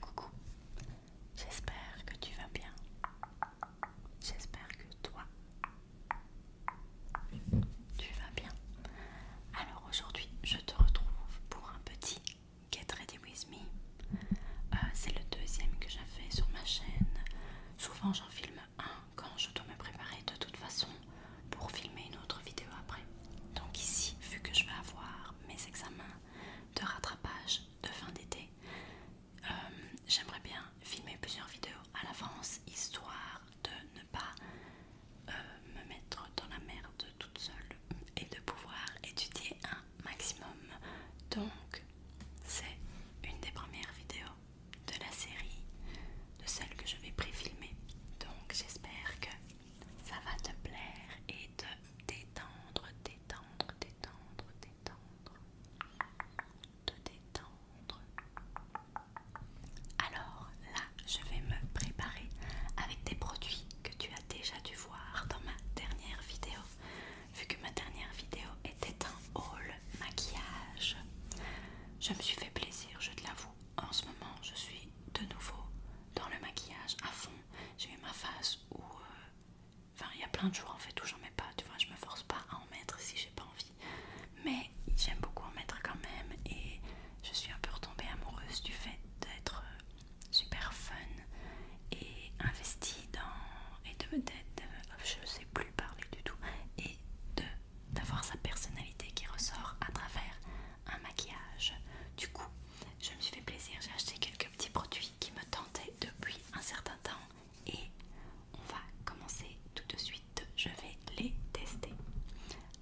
Coucou, j'espère que tu vas bien. J'espère que toi, tu vas bien. Alors aujourd'hui, je te retrouve pour un petit Get Ready With Me. Euh, c'est le deuxième que fait sur ma chaîne. Souvent, j'en filme quand je dois me préparer de toute façon pour filmer une autre vidéo après. Donc ici, vu que je vais avoir mes examens de rattrapage de fin d'été, euh, j'aimerais bien filmer plusieurs vidéos à l'avance, histoire de ne pas euh, me mettre dans la merde toute seule et de pouvoir étudier un maximum. Donc c'est une des premières vidéos de la série, de celle que je vais préfilmer. Donc j'espère que ça va te plaire et te détendre, détendre, détendre, détendre, te détendre. Alors là, je vais me préparer avec des produits que tu as déjà dû voir dans ma dernière vidéo, vu que ma dernière vidéo était un haul maquillage. Je me suis fait plaisir, je te l'avoue. En ce moment, je suis de nouveau dans le maquillage à fond. J'ai eu ma phase où... Euh, enfin, il y a plein de jours en fait où j'en mets pas, tu vois, je me force pas à en mettre si j'ai pas envie. Mais j'aime beaucoup en mettre quand même et je suis un peu retombée amoureuse du fait d'être euh, super fun et investie dans... et de... me de euh, je sais plus parler du tout et de d'avoir sa personnalité qui ressort à travers un maquillage. Du coup, je me suis fait plaisir, j'ai acheté quelques petits produits qui me tentaient depuis un certain temps et on va commencer tout de suite. Je vais les tester.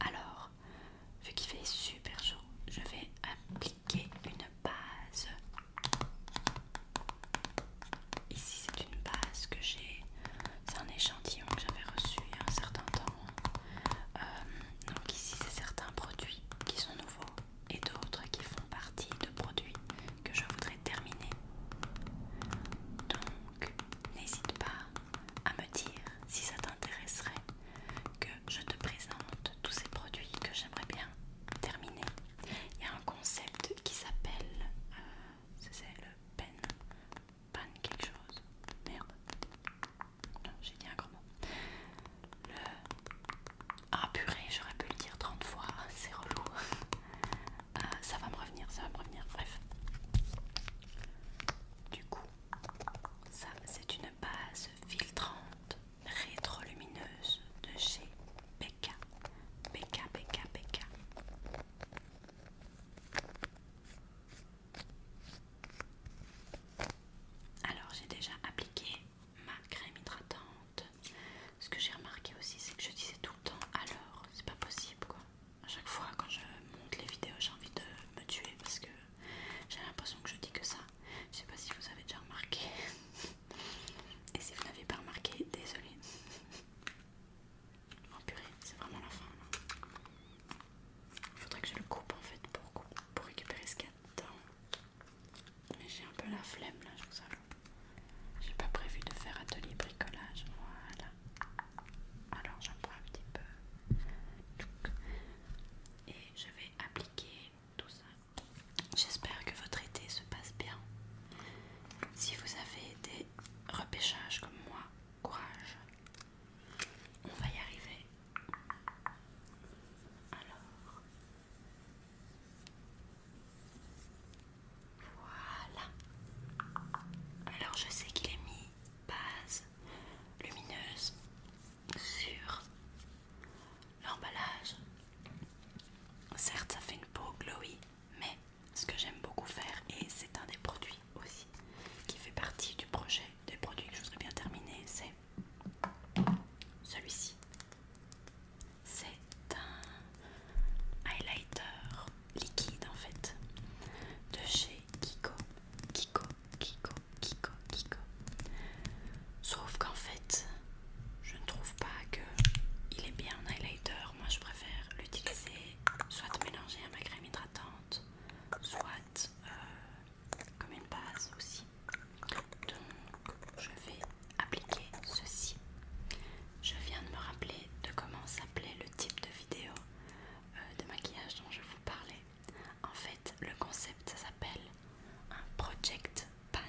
Alors, vu qu'il fait super chaud, je vais appliquer une base. Ici, c'est une base que j'ai c'est un échantillon que j'avais reçu il y a un certain temps. Euh, donc ici c'est certains produits qui sont nouveaux et d'autres qui font partie de produits que je voudrais terminer. Donc n'hésite pas à me dire si ça t'intéresserait que je te présente tous ces produits que j'aimerais bien terminer. Il y a un concept qui s'appelle, euh, c'est le pen pan quelque chose. Merde. j'ai dit un grand mot. Le... Ah purée, j'aurais pu le dire 30 fois, c'est relou. Euh, ça va me revenir, ça va me revenir, bref. Du coup, ça c'est une base filtrante rétro-lumineuse de chez Becca. Becca, Becca, Becca. Alors j'ai déjà appliqué ma crème hydratante. Ce que j'ai remarqué aussi, c'est que je disais tout le temps alors, c'est pas possible quoi. À chaque fois quand je monte les vidéos, j'ai envie de me tuer parce que j'ai l'impression que je dis que ça. Je sais pas si vous avez déjà remarqué. Et si vous n'avez pas remarqué, désolé. Oh purée, c'est vraiment la fin Il faudrait que je le coupe en fait pour, pour récupérer ce qu'il y a dedans. Mais j'ai un peu la flemme là, je vous avoue. J'ai pas prévu de faire atelier bricolage, voilà. Alors j'en prends un petit peu. Et je vais appliquer tout ça. J'espère que votre été se passe bien. Si vous avez des repêchages comme moi, Courage. On va y arriver. Alors. Voilà. Alors je sais qu'il est mis base lumineuse sur l'emballage. Certes, ça fait une peau glowy, mais ce que j'aime beaucoup faire et c'est un des produits aussi qui fait partie du projet des produits que je voudrais bien terminer c'est celui-ci c'est un highlighter liquide en fait de chez Kiko Kiko Kiko Kiko Kiko sauf qu'en fait je ne trouve pas que il est bien en highlighter moi je préfère l'utiliser soit mélanger à ma crème hydratante soit euh, comme une base aussi. Donc je vais appliquer ceci. Je viens de me rappeler de comment s'appelait le type de vidéo euh, de maquillage dont je vous parlais. En fait, le concept ça s'appelle un project pan.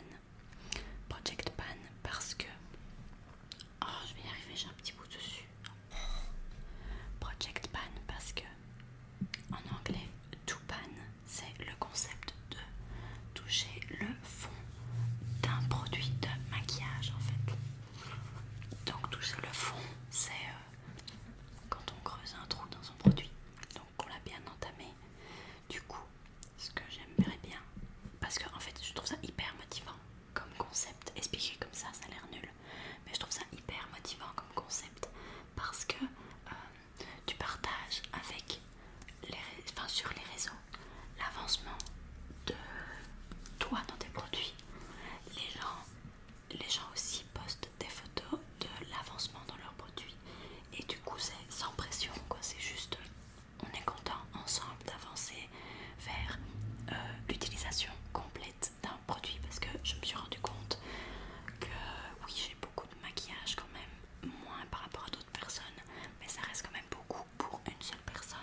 Project pan parce que Oh, je vais y arriver, j'ai un petit bout dessus. Project Pan, parce que en anglais, to pan, c'est le concept de toucher le fond d'un produit de maquillage en fait. Donc, toucher le fond, c'est euh, quand on creuse un trou dans son produit, donc on l'a bien entamé. Du coup, ce que j'aimerais bien, parce que en fait, je trouve ça hyper motivant comme concept. expliqué comme ça, ça a l'air nul. Mais je trouve ça hyper motivant comme concept. Parce que euh, tu partages avec les, enfin, sur les réseaux l'avancement de toi dans tes produits. Les gens, les gens aussi postent des photos de l'avancement dans leurs produits. Et du coup c'est sans pression quoi, c'est juste on est content ensemble d'avancer vers euh, l'utilisation complète d'un produit parce que je me suis rendu compte que oui j'ai beaucoup de maquillage quand même, moins par rapport à d'autres personnes, mais ça reste quand même beaucoup pour une seule personne.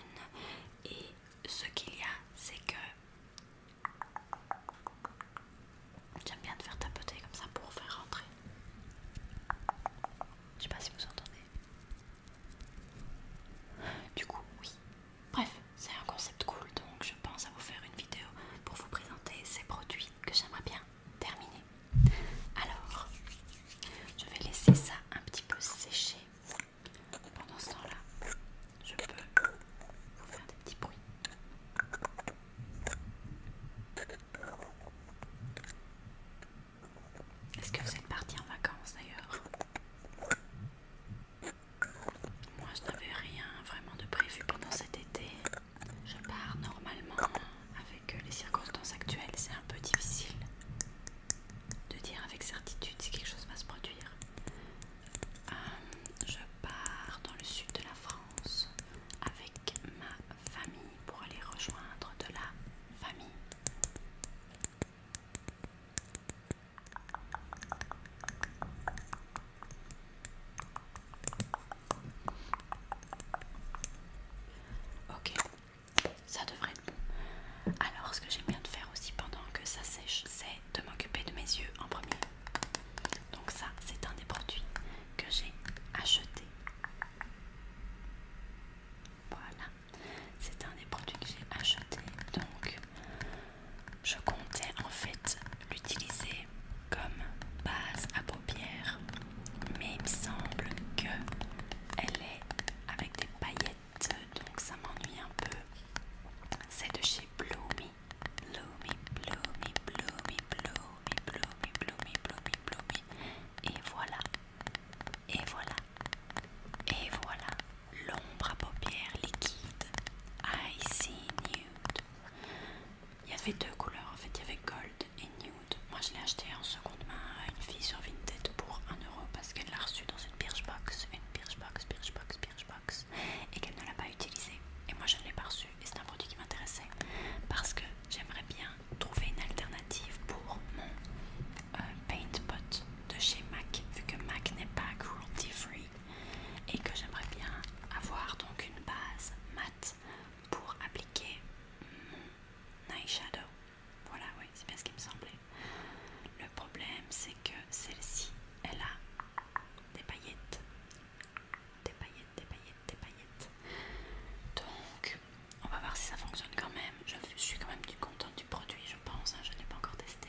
Et ce qu'il y a c'est que j'aime bien te faire tapoter comme ça pour faire rentrer. Je sais pas si vous entendez. Du coup oui, Bref, c'est un concept cool, donc je pense à vous faire une vidéo pour vous présenter ces produits que j'aimerais bien terminer. Alors, je vais laisser ça un petit peu sécher. Pendant ce temps-là, je peux vous faire des petits bruits. Est-ce que vous êtes parti en vacances d'ailleurs moi je n'avais rien vraiment de prévu pendant cet été. Je pars normalement avec euh, les circonstances actuelles, c'est un peu difficile de dire avec certitude si quelque chose va se produire. Euh, je pars dans le sud de la France avec ma famille pour aller rejoindre de la famille. Ok, ça devrait être bon. Alors, ce que j'aime bien de faire aussi pendant que ça sèche, c'est de m'occuper de mes yeux en premier. Donc ça, c'est un des produits que j'ai acheté. Voilà, c'est un des produits que j'ai acheté. Donc je comptais en fait l'utiliser comme base à paupières, mais il me semble que elle est avec des paillettes, donc ça m'ennuie un peu. C'est de chez Bloomy, Bloomy, Bloomy, Bloomy, Bloomy, Bloomy, Bloomy, Bloomy, et voilà, et voilà, et voilà l'ombre à paupières liquide I nude il y avait deux couleurs en fait il y avait gold et nude moi je l'ai acheté en seconde main à une fille sur Vinted pour 1€ parce qu'elle l'a reçu dans une Birchbox une Birchbox, Birchbox, Birchbox et qu'elle ne l'a pas utilisé et moi je ne l'ai pas reçu et c'est un produit qui m'intéressait parce que j'aimerais bien trouver une alternative pour mon euh, paint pot de chez MAC vu que MAC n'est pas cruelty free et que j'aimerais bien avoir donc une base matte pour appliquer mon eyeshadow. Voilà, oui, c'est bien ce qui me semblait. Le problème, c'est que celle-ci, elle a des paillettes. Des paillettes, des paillettes, des paillettes. Donc, on va voir si ça fonctionne quand même. Je suis quand même du contente du produit, je pense. Hein. je n'ai pas encore testé.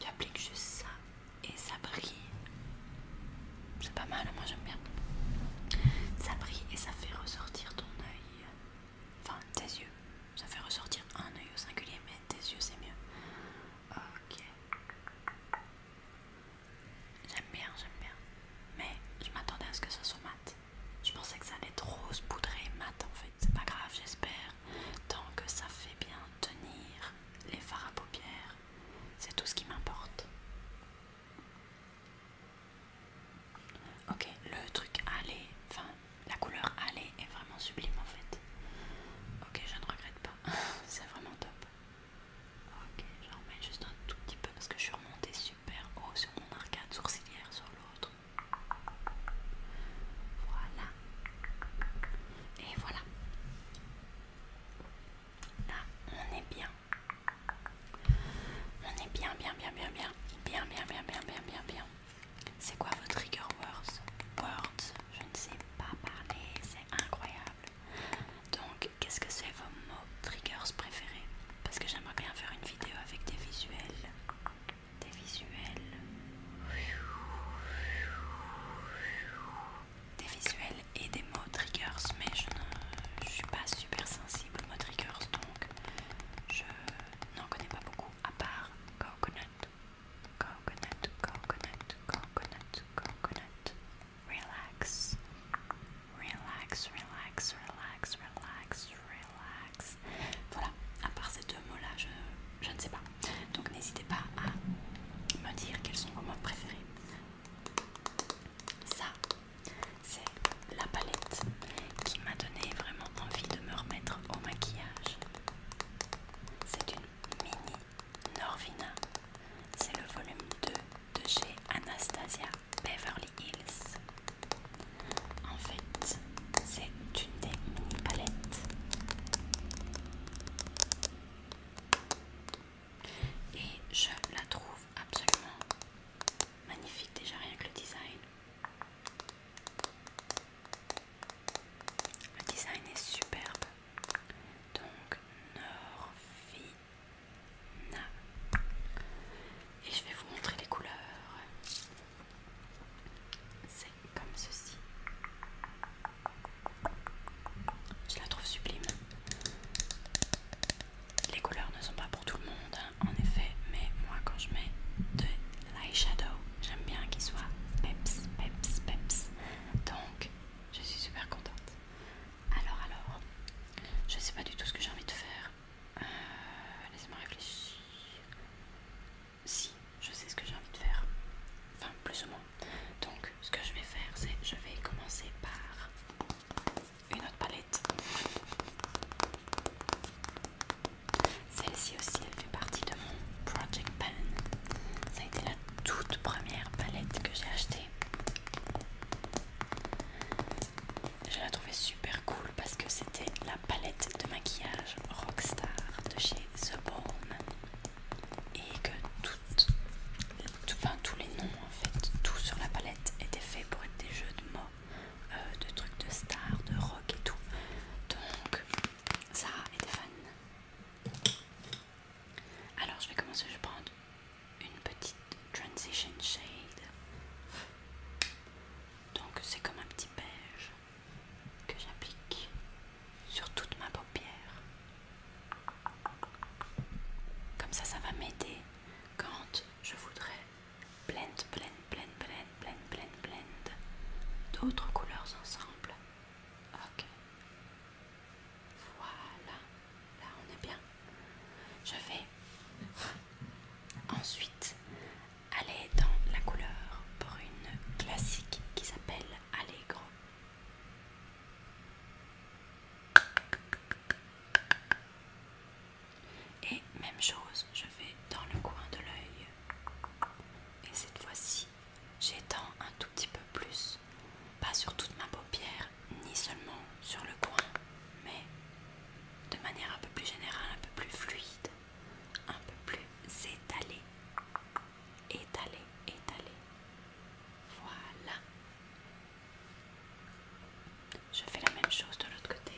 tu appliques juste ça et ça brille. C'est pas mal, moi j'aime bien. Ça brille et ça fait ressortir ton œil. Enfin, tes yeux. Ça fait ressortir un œil au singulier, mais tes yeux c'est mieux. Ok. J'aime bien, j'aime bien. Mais je m'attendais à ce que ça soit mat. Je pensais que ça allait trop rose, poudrer mat en fait. C'est pas grave, j'espère tant que ça fait bien tenir les fards à paupières, c'est tout ce qui m'importe. Ok, le truc aller, enfin la couleur aller est vraiment sublime en fait. Ok, je ne regrette pas, c'est vraiment top. Ok, j'en mets juste un tout petit peu parce que je suis remontée super haut sur mon arcade sourcilière sur l'autre. Voilà. Et voilà. Là, on est bien. On est bien, bien, bien, bien, bien. Bien, bien, bien, bien, bien, bien, bien. C'est quoi votre trigger words Words, je ne sais pas parler, c'est incroyable. Donc, qu'est-ce que c'est vos mots triggers préférés Parce que j'aimerais bien faire une vidéo avec des visuels des visuels, des visuels et des mots triggers, mais je ne suis pas super sensible aux mots triggers donc je n'en connais pas beaucoup à part coconut, coconut, coconut, coconut, coconut, relax, relax, relax, relax, relax, relax. Voilà, à part ces deux mots là, je ne sais pas. Donc n'hésitez pas à me dire quels sont vos mots préférés. Ça, c'est la palette qui m'a donné vraiment envie de me remettre au maquillage. C'est une mini Norvina. C'est le volume 2 de chez Anastasia Beverly Hills. En fait, c'est une des mini palettes. Et je la trouve absolument magnifique déjà rien que le design. Le design est superbe. Donc Norvina. Et je vais vous montrer les couleurs. C'est comme ceci. Je la trouve sublime. Les couleurs ne sont pas pour tout le monde, hein, en effet, mais moi quand je mets de l'eyeshadow, j'aime bien qu'il soit peps, peps, peps. Donc, je suis super contente. Alors, alors, je sais pas du tout ce que j'ai envie de faire. Euh, Laissez-moi réfléchir si je sais ce que j'ai envie de faire, enfin plus ou moins. Donc ce que je vais faire, c'est je vais commencer par une autre palette. Celle-ci aussi, elle fait partie de mon Project Pan. Ça a été la toute première palette que j'ai achetée. Je la trouvais super cool parce que c'était la palette de maquillage Rockstar de chez The Bone et que toutes, tout, enfin, tous les noms en fait, tout sur la palette était fait pour être des jeux de mots, euh, de trucs de stars, de rock et tout. Donc Sarah été fun Alors je vais commencer, je vais prendre une petite transition shade. Donc c'est comme un petit beige que j'applique sur toute ma paupière. Comme ça, ça va m'aider quand je voudrais blend, blend, blend, blend, blend, blend, blend d'autres couleurs ensemble. Ok. Voilà. Là, on est bien. Je vais ensuite aller dans la couleur brune classique qui s'appelle et même chose, je vais dans le coin de l'œil. Et cette fois-ci, j'étends un tout petit peu plus. Pas sur toute ma paupière, ni seulement sur le coin, mais de manière un peu plus générale, un peu plus fluide, un peu plus étalée étaler, étaler. Voilà. Je fais la même chose de l'autre côté.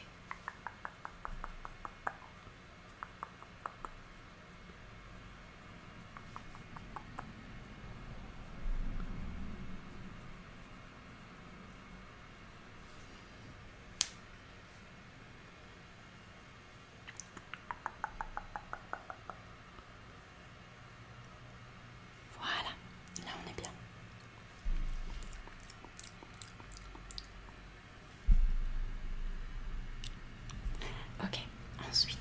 Voilà, là on est bien. Ok, ensuite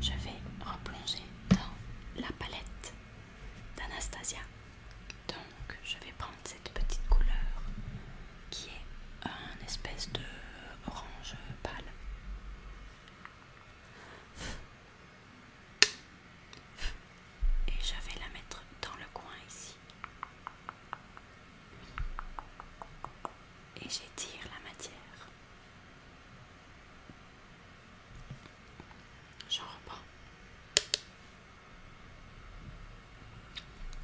je vais replonger dans la palette d'Anastasia. Donc je vais prendre cette petite couleur qui est un espèce de orange pâle. Et je vais la mettre dans le coin ici. Et j'étire la matière. J'en reprends.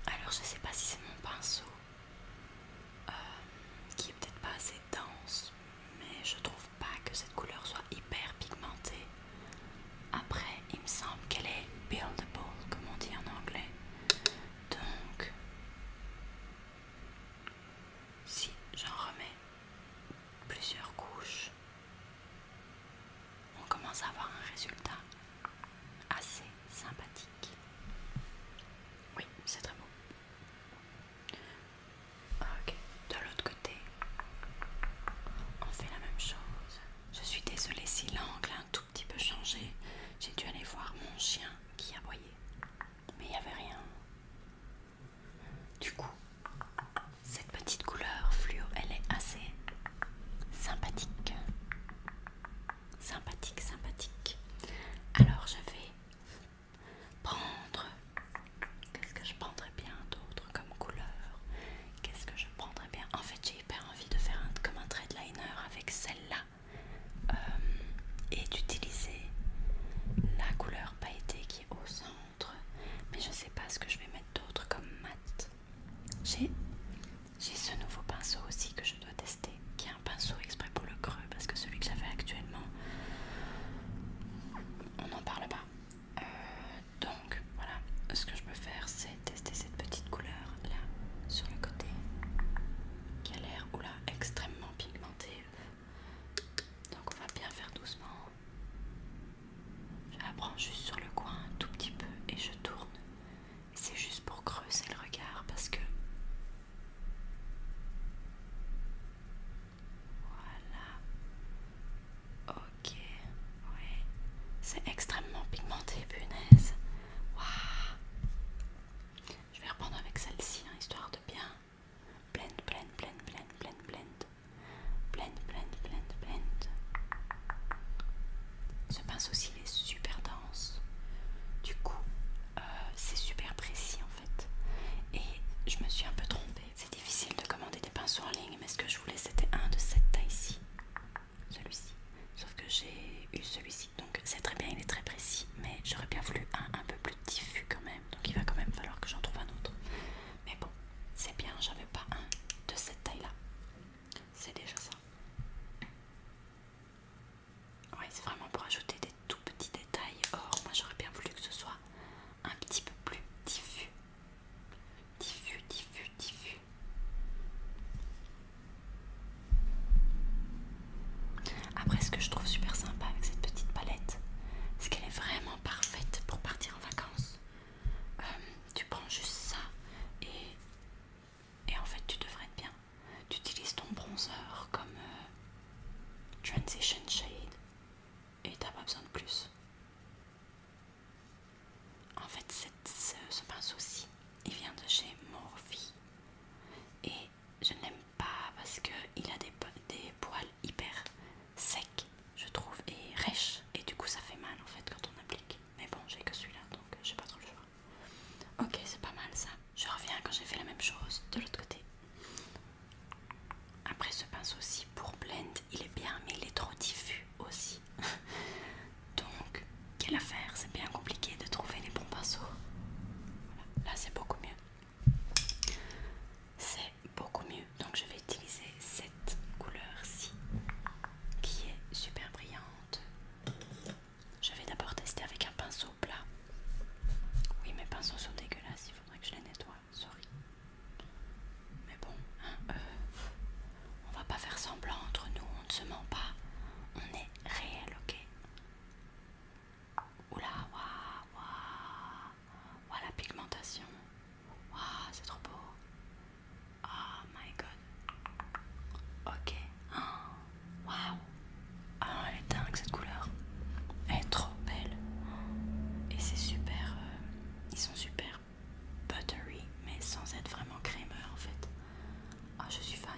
Alors je sais pas si c'est mon pinceau euh, qui est peut-être pas assez dense, mais je trouve pas que cette couleur soit hyper pigmentée. Après, il me semble qu'elle est buildable, comme on dit en anglais. Donc, si j'en remets plusieurs couches, on commence à avoir un résultat assez sympathique. Oui, c'est très beau. Ah, ok, de l'autre côté, on fait la même chose. Je suis désolée si l'angle a un tout petit peu changé. J'ai dû aller voir mon chien qui aboyait, mais il n'y avait rien. Du coup, cette petite couleur fluo, elle est assez sympathique sympathique, sympathique. Alors je vais prendre. Qu'est-ce que je prendrais bien d'autre comme couleur Qu'est-ce que je prendrais bien En fait, j'ai hyper envie de faire comme un trade liner avec celle-là euh, et d'utiliser la couleur pailletée qui est au centre. Mais je sais pas ce que je vais mettre d'autre comme mat. J'ai j'ai ce nouveau pinceau aussi que je dois tester, qui est un pinceau exprès pour le creux, parce que celui que j'avais actuellement, on n'en parle pas. Euh, donc voilà, ce que je peux faire, c'est tester cette petite couleur là, sur le côté, qui a l'air, oula, extrêmement pigmentée. Donc on va bien faire doucement. Je la prends juste sur le coin un tout petit peu et je tourne c'est juste pour creuser le regard parce que voilà ok oui c'est extrêmement pigmenté punaise waouh je vais reprendre avec celle-ci hein, histoire de bien blend blend blend blend blend blend blend blend blend blend ce pinceau-ci est super dense du coup, euh, c'est super précis en fait. Et je me suis un peu trompée. C'est difficile de commander des pinceaux en ligne, mais ce que je voulais c'était un de cette taille-ci. Celui-ci. Sauf que j'ai eu celui-ci. Donc c'est très bien, il est très précis. Mais j'aurais bien voulu un un peu plus diffus quand même. Donc il va quand même falloir que j'en trouve un autre. Mais bon, c'est bien, j'avais pas un de cette taille-là. C'est déjà ça. Ouais, c'est vraiment pour ajouter des tout petits détails. Or, moi j'aurais bien voulu que ce soit un petit peu plus diffus. Diffus, diffus, diffus. Après, ce que je trouve super sympa avec cette petite palette, c'est qu'elle est vraiment parfaite pour partir en vacances. Euh, tu prends juste ça et et en fait, tu devrais être bien. Tu utilises ton bronzer comme euh, Transition Shade et t'as pas besoin de plus. En fait, cette, ce, pinceau-ci, il vient de chez Morphe. Et je ne l'aime pas parce qu'il a des, des poils hyper secs, je trouve, et rêches. Et du coup, ça fait mal en fait quand on applique. Mais bon, j'ai que celui-là, donc euh, je sais pas trop le choix. Ok, c'est pas mal ça. Je reviens quand j'ai fait la même chose de l'autre côté. Après ce pinceau-ci pour blend, il est bien, mais il est trop diffus aussi. Donc, quelle affaire C'est bien compliqué de trouver les bons pinceaux. Là, c'est beaucoup mieux. C'est beaucoup mieux. Donc, je vais utiliser cette couleur-ci qui est super brillante. Je vais d'abord tester avec un pinceau plat. Oui, mes pinceaux sont dégueulasses, il faudrait que je les nettoie, sorry. Mais bon, hein, euh, on va pas faire semblant entre nous, on ne se ment pas. On est réel, ok Oula, waouh, waouh, waouh, la pigmentation. Waouh, c'est trop beau. Oh my god. Ok. Hein. Waouh Ah, elle est dingue cette couleur. Elle est trop belle. Et c'est super... Euh, ils sont super buttery, mais sans être vraiment crémeux en fait. Ah, je suis fan.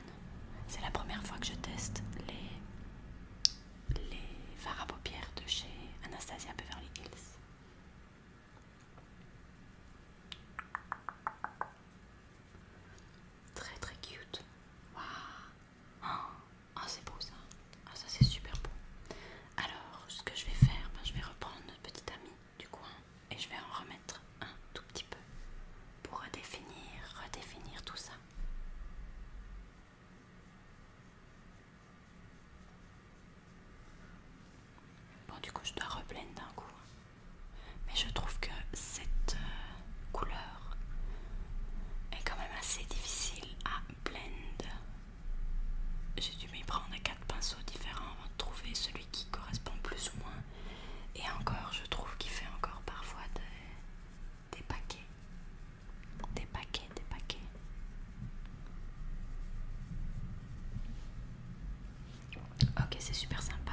C'est la première fois que je teste les, les fards à paupières de chez Anastasia Beverly Hills. Très très cute. Waouh ah, oh, c'est beau ça. Ah, ça c'est super beau. Alors, ce que je vais faire, ben, je vais reprendre notre petit ami du coin et je vais en remettre un tout petit peu pour redéfinir, redéfinir tout ça. Bon, du coup, je dois reblender d'un coup. Hein. Mais je trouve que cette, euh, couleur est quand même assez difficile à blend. J'ai dû m'y prendre quatre pinceaux différents avant trouver celui qui correspond plus ou moins. Et encore, je trouve qu'il fait encore parfois des paquets. Des paquets, des paquets. Ok, c'est super sympa.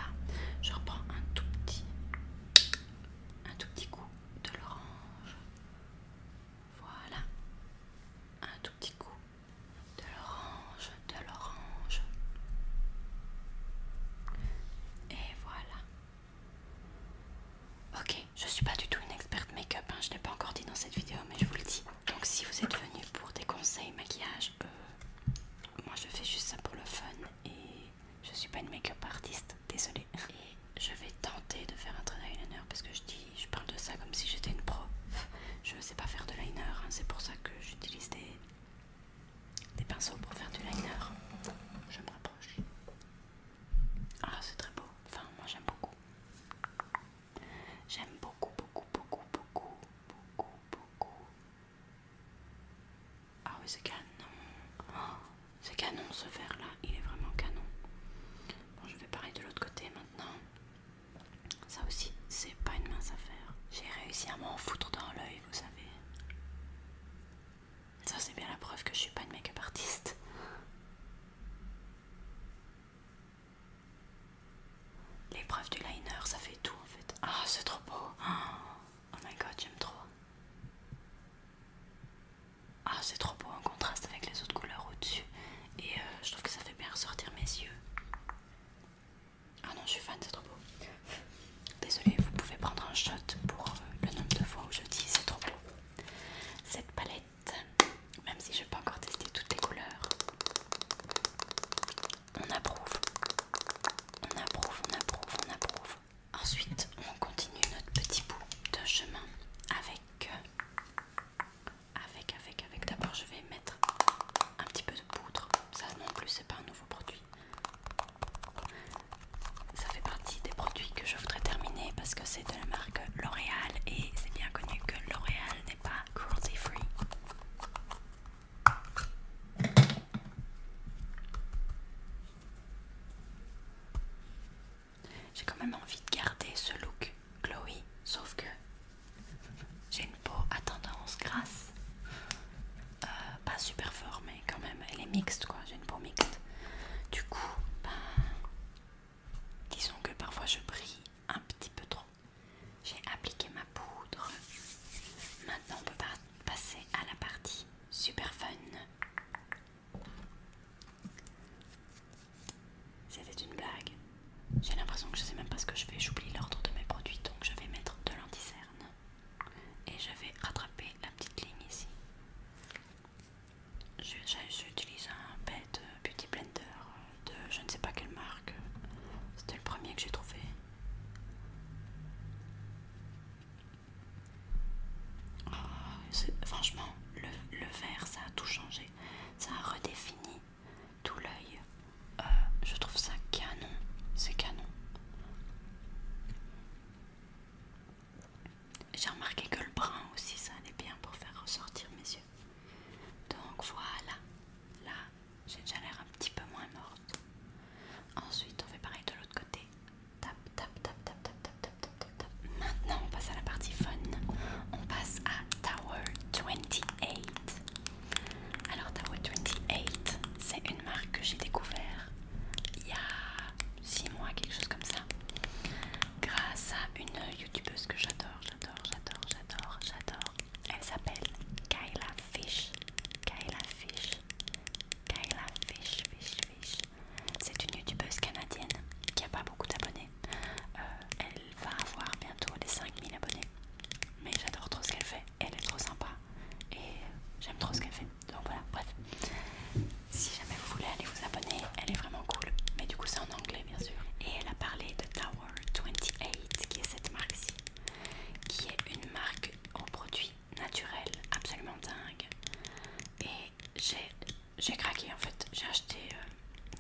Je reprends un tout petit un tout petit coup de l'orange. Voilà. Un tout petit coup de l'orange, de l'orange. Et voilà. Ok, je suis pas du tout une experte make-up, hein. je ne l'ai pas encore dit dans cette vidéo, mais je vous le dis. Donc si vous êtes venus pour des conseils maquillage, euh, moi je fais juste ça pour le fun et je suis pas une make-up artiste, désolée. Et je vais tenter de faire un trait d'eyeliner parce que je dis, je parle de ça comme si j'étais une pro. Je ne sais pas faire de liner, hein. c'est pour ça que j'utilise des, des pinceaux pour faire du liner. Je me rapproche. Ah, c'est très beau. Enfin, moi j'aime beaucoup. J'aime beaucoup, beaucoup, beaucoup, beaucoup, beaucoup, beaucoup, ah oui c'est canon oh, C'est canon ce verre là, il est vraiment canon. Bon je vais parler de l'autre côté maintenant. Ça aussi c'est pas une mince affaire. J'ai réussi à m'en foutre dans l'œil, vous savez. Ça c'est bien la preuve que je suis pas une make-up artiste. L'épreuve du liner, ça fait tout en fait. Ah, c'est trop beau. Ah. Oh my god, j'aime trop. Ah, c'est trop beau en contraste avec les autres couleurs au-dessus. Et euh, je trouve que ça fait bien ressortir mes yeux. Ah non, je suis fan, c'est trop beau. Désolée, vous pouvez prendre un shot pour euh, le nombre de fois où je dis c'est trop beau. Cette palette, même si je n'ai pas encore testé toutes les couleurs, on approuve. On approuve, on approuve, on approuve. Ensuite, on continue notre petit bout de chemin avec, euh, avec, avec, avec. D'abord, je vais mettre un petit peu de poudre. Ça non plus, c'est pas un nouveau produit. Ça fait partie des produits que je voudrais terminer parce que c'est de la marque L'Oréal et c'est bien connu que L'Oréal n'est pas cruelty free. J'ai quand même envie de garder ce look glowy, sauf que j'ai une peau à tendance grasse, euh, pas super fort, mais quand même, elle est mixte quoi. J'ai une peau mixte, du coup, ben, disons que parfois je brille un petit peu trop. J'ai appliqué ma poudre. Maintenant, on peut passer à la partie super fun. C'était une blague. J'ai l'impression que je sais même pas ce que je fais. J'oublie l'ordre de mes produits, donc je vais mettre de l'anticerne. Et je vais rattraper la petite ligne ici. J'utilise un bête euh, Beauty Blender euh, de je ne sais pas quelle marque. C'était le premier que j'ai trouvé. Ah, franchement, le, vert, ça a tout changé. Ça a redéfini tout l'œil. Euh, je trouve ça canon. C'est canon. J'ai remarqué que le brun aussi, ça allait bien pour faire ressortir mes yeux. Donc voilà. Là, j'ai déjà l'air un petit peu moins morte. Ensuite, on fait pareil de l'autre côté. Tap, tap, tap, tap, tap, tap, tap, tap, Maintenant, on passe à la partie fun. On passe à Tower 28. Alors, Tower 28, c'est une marque que j'ai découvert il y a 6 mois, quelque chose comme ça, grâce à une youtubeuse que j'adore, j'adore, j'adore, j'adore, j'adore. Elle s'appelle Kyla Fish. Kyla Fish. Kyla Fish, Fish, Fish. C'est une youtubeuse canadienne qui a pas beaucoup d'abonnés. Euh, elle va avoir bientôt les 5000 abonnés. Mais j'adore trop ce qu'elle fait. Elle est trop sympa. Et j'aime trop ce qu'elle fait. Donc voilà, bref. Si jamais vous voulez aller vous abonner, elle est vraiment cool. Mais du coup c'est en anglais bien sûr. Et elle a parlé de Tower 28, qui est cette marque-ci. Qui est une marque aux produits naturels absolument dingue. Et j'ai craqué en fait. J'ai acheté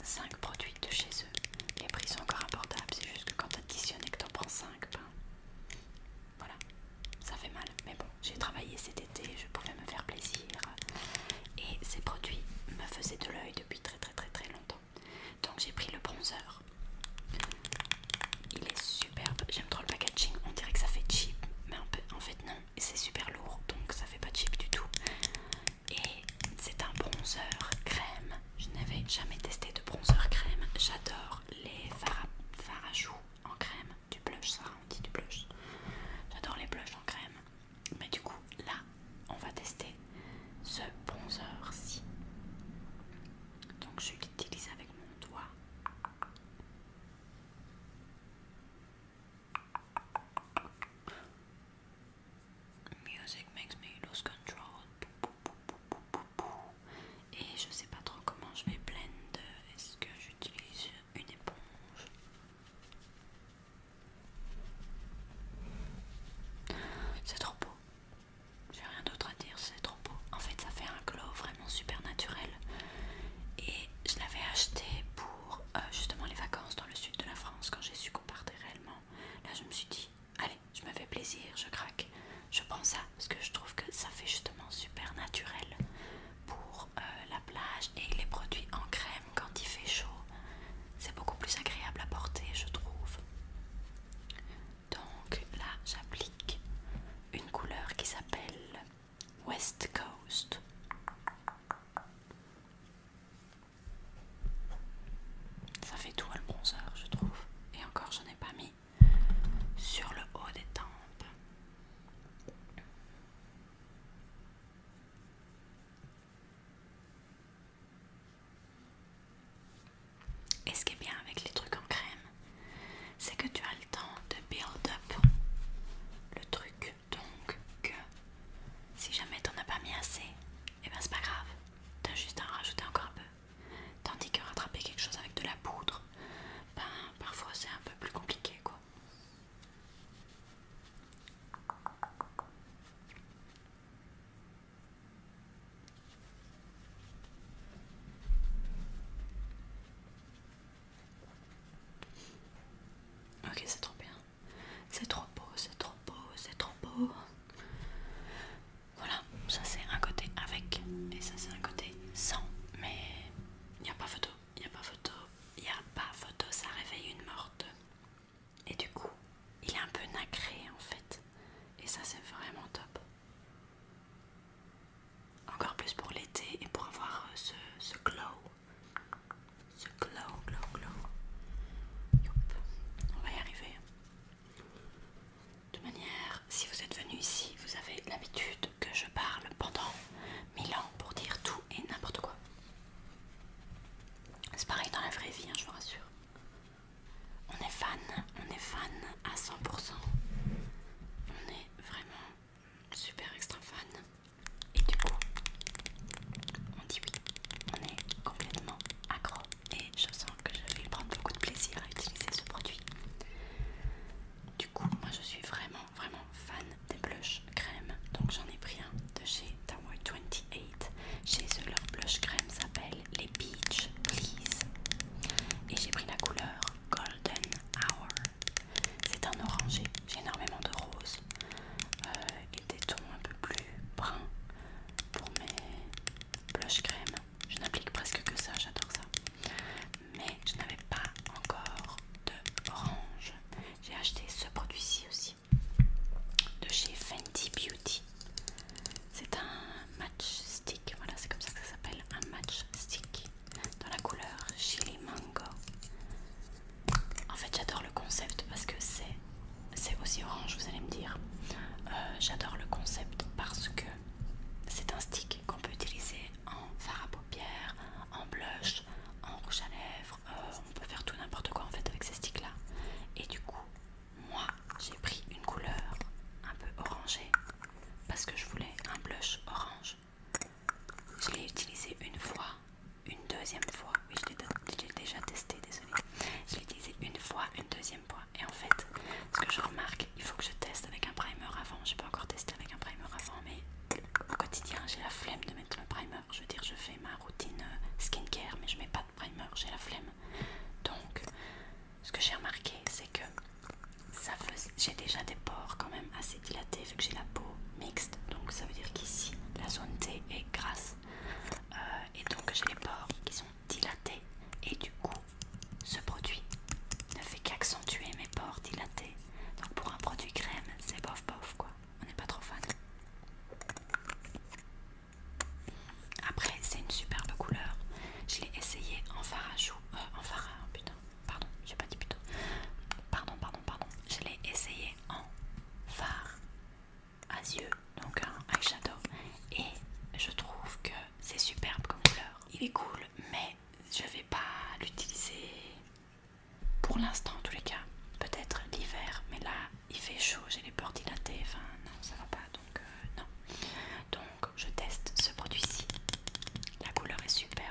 5 euh, produits de chez eux. Les prix sont encore abordables, c'est juste que quand tu et que t'en prends 5, ben, voilà, ça fait mal. Mais bon, j'ai travaillé cet été, je pouvais me faire plaisir. Et ces produits me faisaient de l'œil depuis très très très très longtemps. Donc j'ai pris le bronzer. Il est superbe, j'aime trop le packaging, on dirait que ça fait cheap, mais en fait non, c'est super lourd donc ça fait pas cheap du tout. Et c'est un bronzer crème. Je n'avais jamais testé de bronzer crème. J'adore les fards en crème, du blush, ça on du blush. J'adore les blushs en crème. Mais du coup, là, on va tester ce bronzer-ci. Donc je l'utilise avec mon doigt. Music makes me lose control. Et je sais pas trop comment je vais blend. Est-ce que j'utilise une éponge C'est trop beau. J'ai rien d'autre à dire, c'est trop beau. En fait, ça fait un glow vraiment super naturel. Et je l'avais acheté pour euh, justement les vacances dans le sud de la France quand j'ai su qu'on partait réellement. Là, je me suis dit, allez, je me fais plaisir, je craque, je prends ça parce que je trouve que ça fait justement super naturel pour euh, la plage et les produits en crème quand il fait chaud. C'est beaucoup plus agréable à porter, je trouve. Donc là, j'applique une couleur qui s'appelle West Coast. Ça fait tout le bronzer, je trouve. Et encore, je n'ai pas mis sur le haut des tempes. Et ce qui est bien avec les trucs en crème, c'est que tu as le temps de build up le truc donc, que si jamais t'en as pas mis assez, et eh ben c'est pas grave, t'as juste à en rajouter encore un peu. Tandis que rattraper quelque chose avec de la poudre, ben parfois c'est un peu plus compliqué quoi. Ok, c'est trop bien. C'est trop beau, c'est trop beau, c'est trop beau. Voilà, ça c'est un côté avec et ça c'est un côté sans. Mais il n'y a pas photo, il n'y a pas photo, il n'y a pas photo, ça réveille une morte. Et du coup, il est un peu nacré en fait. Et ça c'est vraiment top. Encore plus pour l'été et pour avoir ce, ce glow. C'est glow, glow, glow. On va y arriver. De manière, si vous êtes venu ici, vous avez l'habitude que je parle pendant mille ans pour dire tout et n'importe quoi. C'est pareil dans la vraie vie, hein, je vous rassure. On est fan, on est fan à 100%. On est vraiment super extra fan. Et du coup, on dit oui, on est complètement accro. Et je sens que je vais prendre beaucoup de plaisir à utiliser ce produit. Du coup, moi je suis vraiment, vraiment fan des blush crème. Donc j'en ai pris un de chez Tower 28. Chez eux, leur blush crème s'appelle les Peach Please. Et j'ai pris la couleur Golden Hour. C'est un orangé, j'ai énormément de roses euh, et des tons un peu plus bruns pour mes blush crème. Je n'applique presque que ça, j'adore ça. Mais je n'avais pas encore de orange. J'ai acheté ce produit-ci aussi de chez Fenty Beauty. C'est un match stick, voilà, c'est comme ça que ça s'appelle, un match stick dans la couleur Chili Mango. En fait, j'adore le concept parce que c'est aussi orange, vous allez me dire. Euh, j'adore le concept parce que c'est un stick qu'on peut utiliser en fard à paupières, en blush, en rouge à lèvres. Euh, on peut faire tout n'importe quoi en fait avec ces sticks là. Et du coup, moi j'ai pris une couleur un peu orangée parce que je voulais un blush orange je l'ai utilisé une fois, une deuxième fois. Oui, je l'ai déjà testé, désolé. Je l'ai utilisé une fois, une deuxième fois. Et en fait, ce que je remarque, il faut que je teste avec un primer avant. J'ai pas encore testé avec un primer avant, mais au quotidien, j'ai la flemme de mettre le primer. Je veux dire, je fais ma routine euh, skincare, mais je mets pas de primer, j'ai la flemme. Donc, ce que j'ai remarqué, c'est que ça j'ai déjà des pores quand même assez dilatée vu que j'ai la peau mixte donc ça veut dire qu'ici la zone T est grasse euh, et donc j'ai les pores qui sont dilatés et du coup ce produit ne fait qu'accentuer mes pores dilatés donc pour un produit crème c'est bof bof quoi on n'est pas trop fan après c'est une superbe couleur je l'ai essayé en fard à euh, en fard putain Pardon, j'ai pas dit plutôt. Pardon, pardon, pardon. Je l'ai essayé en phare à yeux, donc un eyeshadow. Et je trouve que c'est superbe comme couleur. Il est cool, mais je vais pas l'utiliser pour l'instant en tous les cas. Peut-être l'hiver, mais là il fait chaud, j'ai les peurs dilatées. enfin non, ça va pas, donc euh, non. Donc je teste ce produit-ci. La couleur est superbe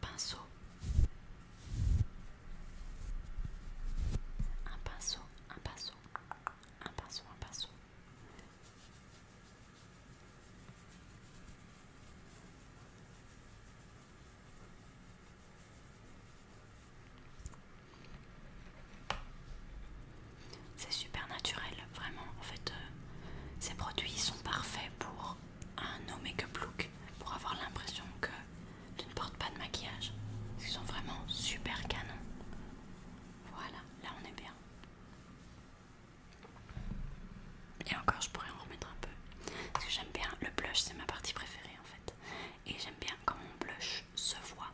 pinceau. Un pinceau, un pinceau, un pinceau, un pinceau. C'est super naturel, vraiment. En fait, euh, ces produits sont parfaits pour un no makeup look pour avoir l'impression que tu ne portes pas de maquillage. Ils sont vraiment super canons. Voilà, là on est bien. Et encore, je pourrais en remettre un peu. Parce que j'aime bien le blush, c'est ma partie préférée en fait. Et j'aime bien quand mon blush se voit.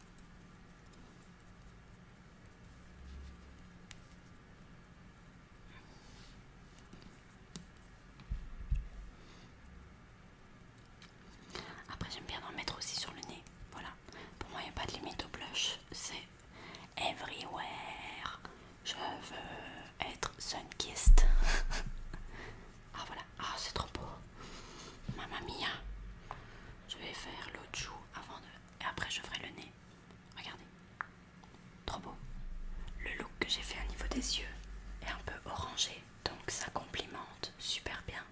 Après j'aime bien en mettre aussi sur le nez. Voilà. Pour moi il n'y a pas de limite au blush. C'est everywhere. Je veux être sunkist. ah voilà. Ah c'est trop beau. Mamma mia. Je vais faire l'autre joue avant de... Et après je ferai le nez. Regardez. Trop beau. Le look que j'ai fait au niveau des yeux est un peu orangé, donc ça complimente super bien.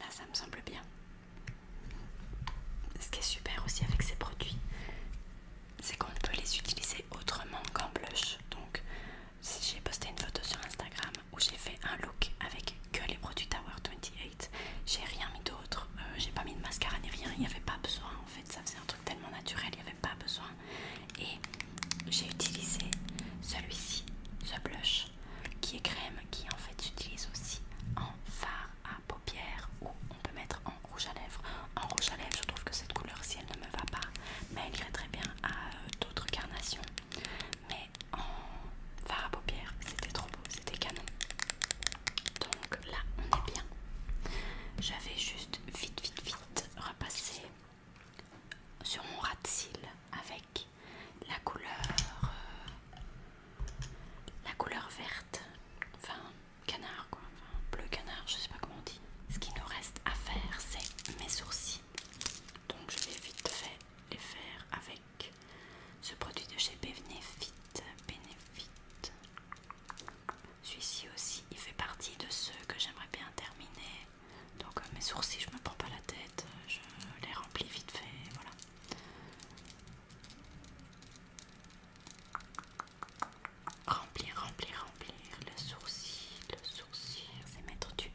Là, ça me semble bien. Ce qui est super aussi avec ces produits, c'est qu'on peut les utiliser autrement qu'en blush. Donc, si j'ai posté une photo sur Instagram où j'ai fait un look avec que les produits Tower 28, j'ai rien mis d'autre, euh, j'ai pas mis de mascara ni rien, il n'y avait pas besoin en fait ça faisait un truc tellement naturel, il n'y avait pas besoin. Et j'ai utilisé celui-ci, ce blush, qui est crème, qui en fait s'utilise aussi en fard à paupières ou on peut mettre en rouge à lèvres. En rouge à lèvres, je trouve que cette couleur, si elle ne me va pas, mais elle irait très bien à euh, d'autres carnations. Mais en fard à paupières, c'était trop beau, c'était canon. Donc là, on est bien. j'avais juste vite, vite, vite repassé sur mon ras de cils avec la couleur, euh, la couleur verte, enfin canard quoi, enfin, bleu canard, je sais pas comment on dit. Ce qui nous reste à faire, c'est mes sourcils. Donc je vais vite fait les faire avec ce produit de chez Benefit. Benefit. Celui-ci aussi, il fait partie de ceux que j'aimerais bien terminer. Donc euh, mes sourcils, je me prends pas la tête, euh, je les remplis vite fait, voilà. Remplir, remplir, remplir le sourcil, le sourcil, c'est mettre du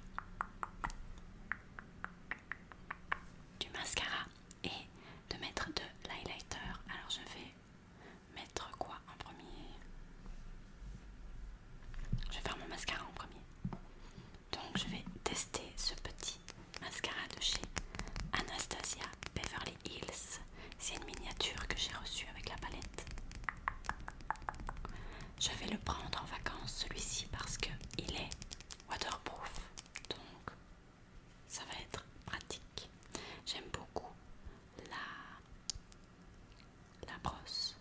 du mascara et de mettre de l'highlighter. Alors je vais Mettre quoi en premier Je vais faire mon mascara en premier. Donc je vais tester ce petit mascara de chez Anastasia Beverly Hills. C'est une miniature que j'ai reçue avec la palette. Je vais le prendre en vacances celui-ci parce qu'il est waterproof. Donc ça va être pratique. J'aime beaucoup la, la brosse.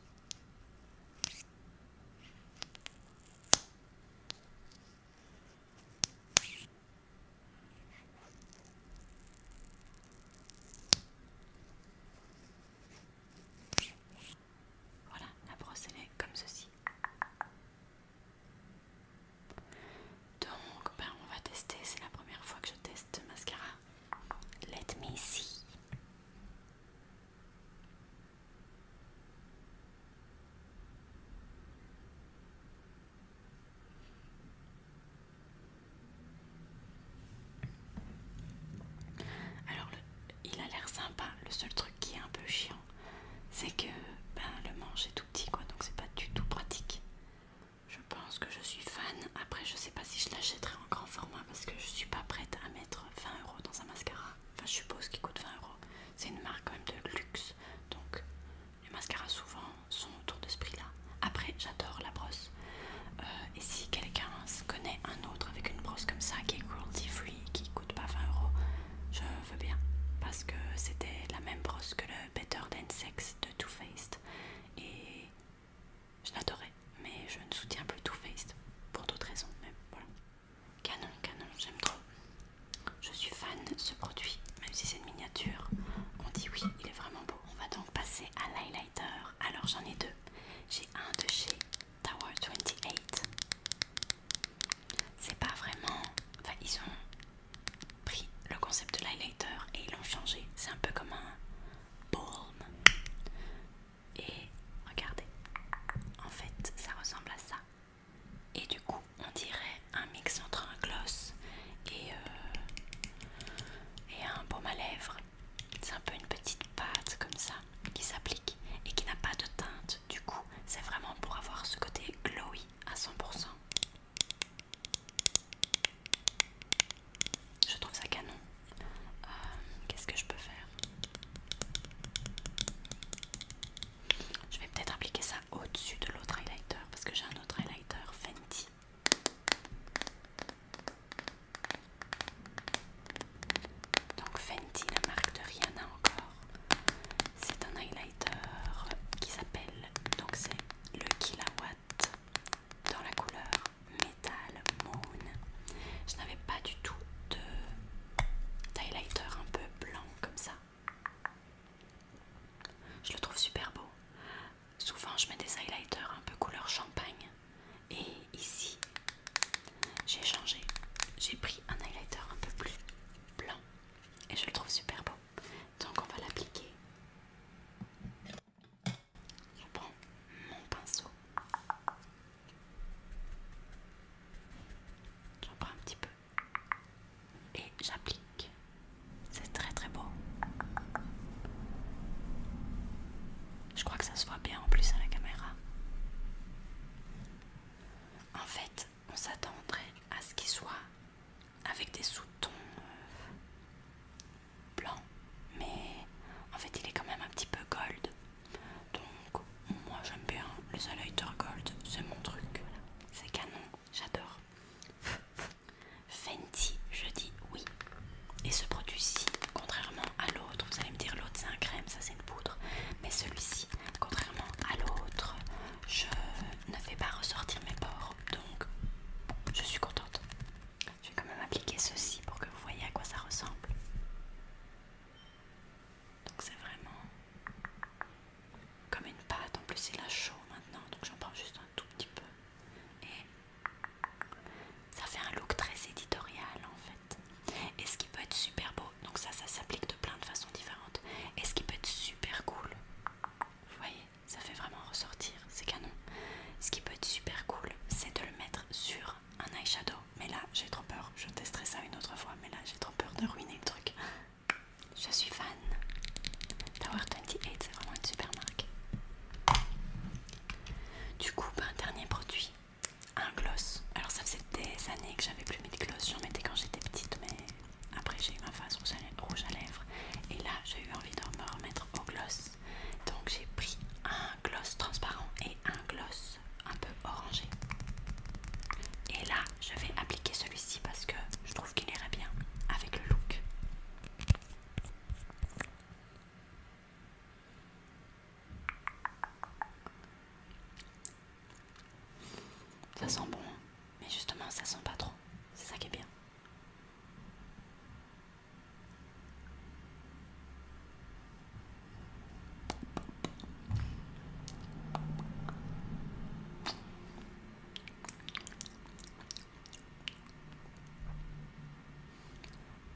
Voilà, la brosse elle est comme ceci. Donc, ben, on va tester. C'est la première fois que je teste mascara. Let me see. Alors, il a l'air sympa. Le seul truc qui est un peu chiant, c'est que ben, le manche est tout petit, quoi, donc c'est pas du tout pratique. Je pense que je suis fan. Après, je sais pas si je l'achèterai en grand format parce que je suis pas prête à mettre 20 euros dans un mascara. Enfin, je suppose qu'il coûte 20 euros. C'est une marque quand même de luxe. Donc, les mascaras souvent sont autour de ce prix-là. Après, j'adore la brosse. Euh, et si quelqu'un connaît un autre avec une brosse comme ça qui est cruelty free, qui coûte pas 20 euros, je veux bien. Parce que c'était la même brosse que le Better Than Sex de Too Faced et je l'adorais, mais je ne soutiens plus Too Faced pour d'autres raisons, même voilà. Canon, canon, j'aime trop. Je suis fan de ce produit, même si c'est une miniature. On dit oui, il est vraiment beau. On va donc passer à l'highlighter. Alors j'en ai deux. J'ai un de chez Tower 28. C'est pas vraiment. Enfin, ils ont pris le concept de l'highlighter et ils l'ont changé. C'est un peu comme un balm. Et regardez, en fait, ça ressemble à ça. Et du coup, on dirait un mix entre un gloss et, euh, et un baume à lèvres. C'est un peu une petite pâte comme ça qui s'applique et qui n'a pas de teinte. Du coup, c'est vraiment pour avoir ce côté glowy à 100%. Je trouve ça canon. Euh, qu'est-ce que je peux faire Je vais peut-être appliquer ça au-dessus de l'autre highlighter parce que j'ai un autre highlighter Fenty. Donc Fenty, la marque de Rihanna hein, encore. C'est un highlighter qui s'appelle donc c'est le Kilawatt dans la couleur Metal Moon. Je n'avais pas du tout de highlighter un peu blanc comme ça. Je le trouve super beau. Souvent, je mets des highlighters un peu couleur champagne. Et ici, j'ai changé. J'ai pris un highlighter un peu plus blanc. Et je le trouve super beau. Donc, on va l'appliquer. Je prends mon pinceau. J'en prends un petit peu et j'applique. C'est très très beau. Je crois que ça se voit bien en plus à la caméra. En fait, on s'attendrait à ce qu'il soit avec des sous-tons euh, blancs, mais en fait il est quand même un petit peu gold. Donc moi j'aime bien les highlighter gold, c'est mon truc. C'est canon, j'adore. Fenty, je dis oui. Et ce produit-ci, contrairement à l'autre, vous allez me dire l'autre c'est un crème, ça c'est une poudre, mais celui-ci, contrairement à l'autre, je ne fais pas ressortir mes pores, donc je suis contente. Je vais quand même appliquer ceci pour que vous voyez à quoi ça ressemble. Donc c'est vraiment comme une pâte. En plus c'est la chaud maintenant, donc j'en prends juste un tout petit peu. Et ça fait un look très éditorial en fait. Et ce qui peut être super beau, donc ça, ça s'applique de plein de façons différentes. Et ce qui peut être super cool, vous voyez, ça fait vraiment ressortir, ces canons. Ce qui peut être super cool, c'est de le mettre sur un eyeshadow. Mais là, j'ai trop peur, je testerai ça une autre fois, mais là, j'ai trop peur de ruiner le truc. Je suis fan. Tower 28, c'est vraiment une super marque. Du coup, un bah, dernier produit, un gloss. Alors ça faisait des années que j'avais plus mis de gloss, j'en mettais quand j'étais petite, mais après j'ai eu ma face rouge à lèvres. Et là, j'ai eu envie de me remettre au gloss. Donc j'ai pris un gloss transparent et un gloss un peu orangé. Et là, je vais appliquer celui-ci parce que je trouve qu'il irait bien avec le look. Ça sent bon, hein. mais justement ça sent pas trop. C'est ça qui est bien.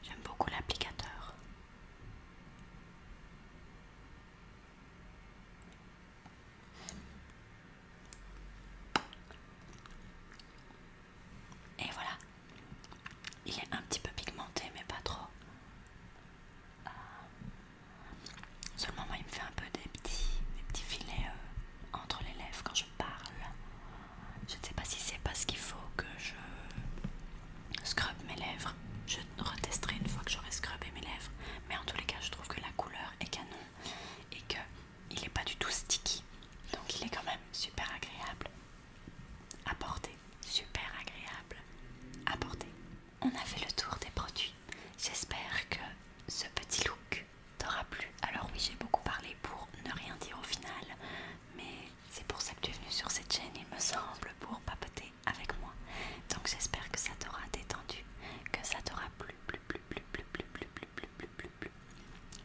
J'aime beaucoup l'applicateur. Et voilà. Il est un petit peu pigmenté, mais pas trop. Euh, seulement, moi, il me fait un peu des petits, filets euh, entre les lèvres quand je parle. Je ne sais pas si c'est parce qu'il faut que je scrub mes lèvres. Je retesterai une fois que j'aurai scrubé mes lèvres. Mais en tous les cas, je trouve que la couleur est canon et que il n'est pas du tout sticky. Donc il est quand même super agréable à porter. Super agréable à porter. On a fait le tour des produits. J'espère que ce petit look t'aura plu. Alors oui, j'ai beaucoup parlé pour ne rien dire au final. Mais c'est pour ça que tu es venu sur cette chaîne, il me semble, pour papoter avec moi. Donc j'espère que ça t'aura détendu, que ça t'aura plu, plu, plu, plu, plu, plu, plu, plu, plu, plus, plus,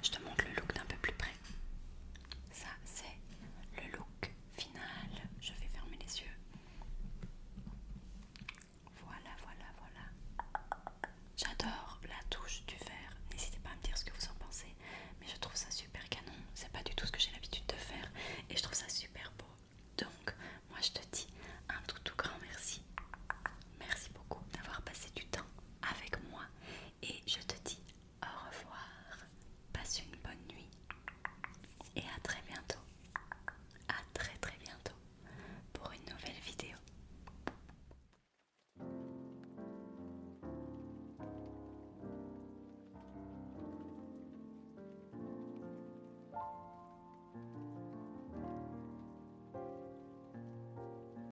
Je te montre le look d'un peu plus près. Ça, c'est le look final. Je vais fermer les yeux. Voilà, voilà, voilà. J'adore la touche du vert N'hésitez pas à me dire ce que vous en pensez. Mais je trouve ça super canon. C'est pas du tout ce que j'ai l'habitude de faire. Et je trouve ça super beau. Donc, moi je te dis un tout tout grand merci. Merci beaucoup d'avoir passé du temps avec moi et je te dis au revoir. Passe une bonne nuit et à très bientôt. À très très bientôt pour une nouvelle vidéo.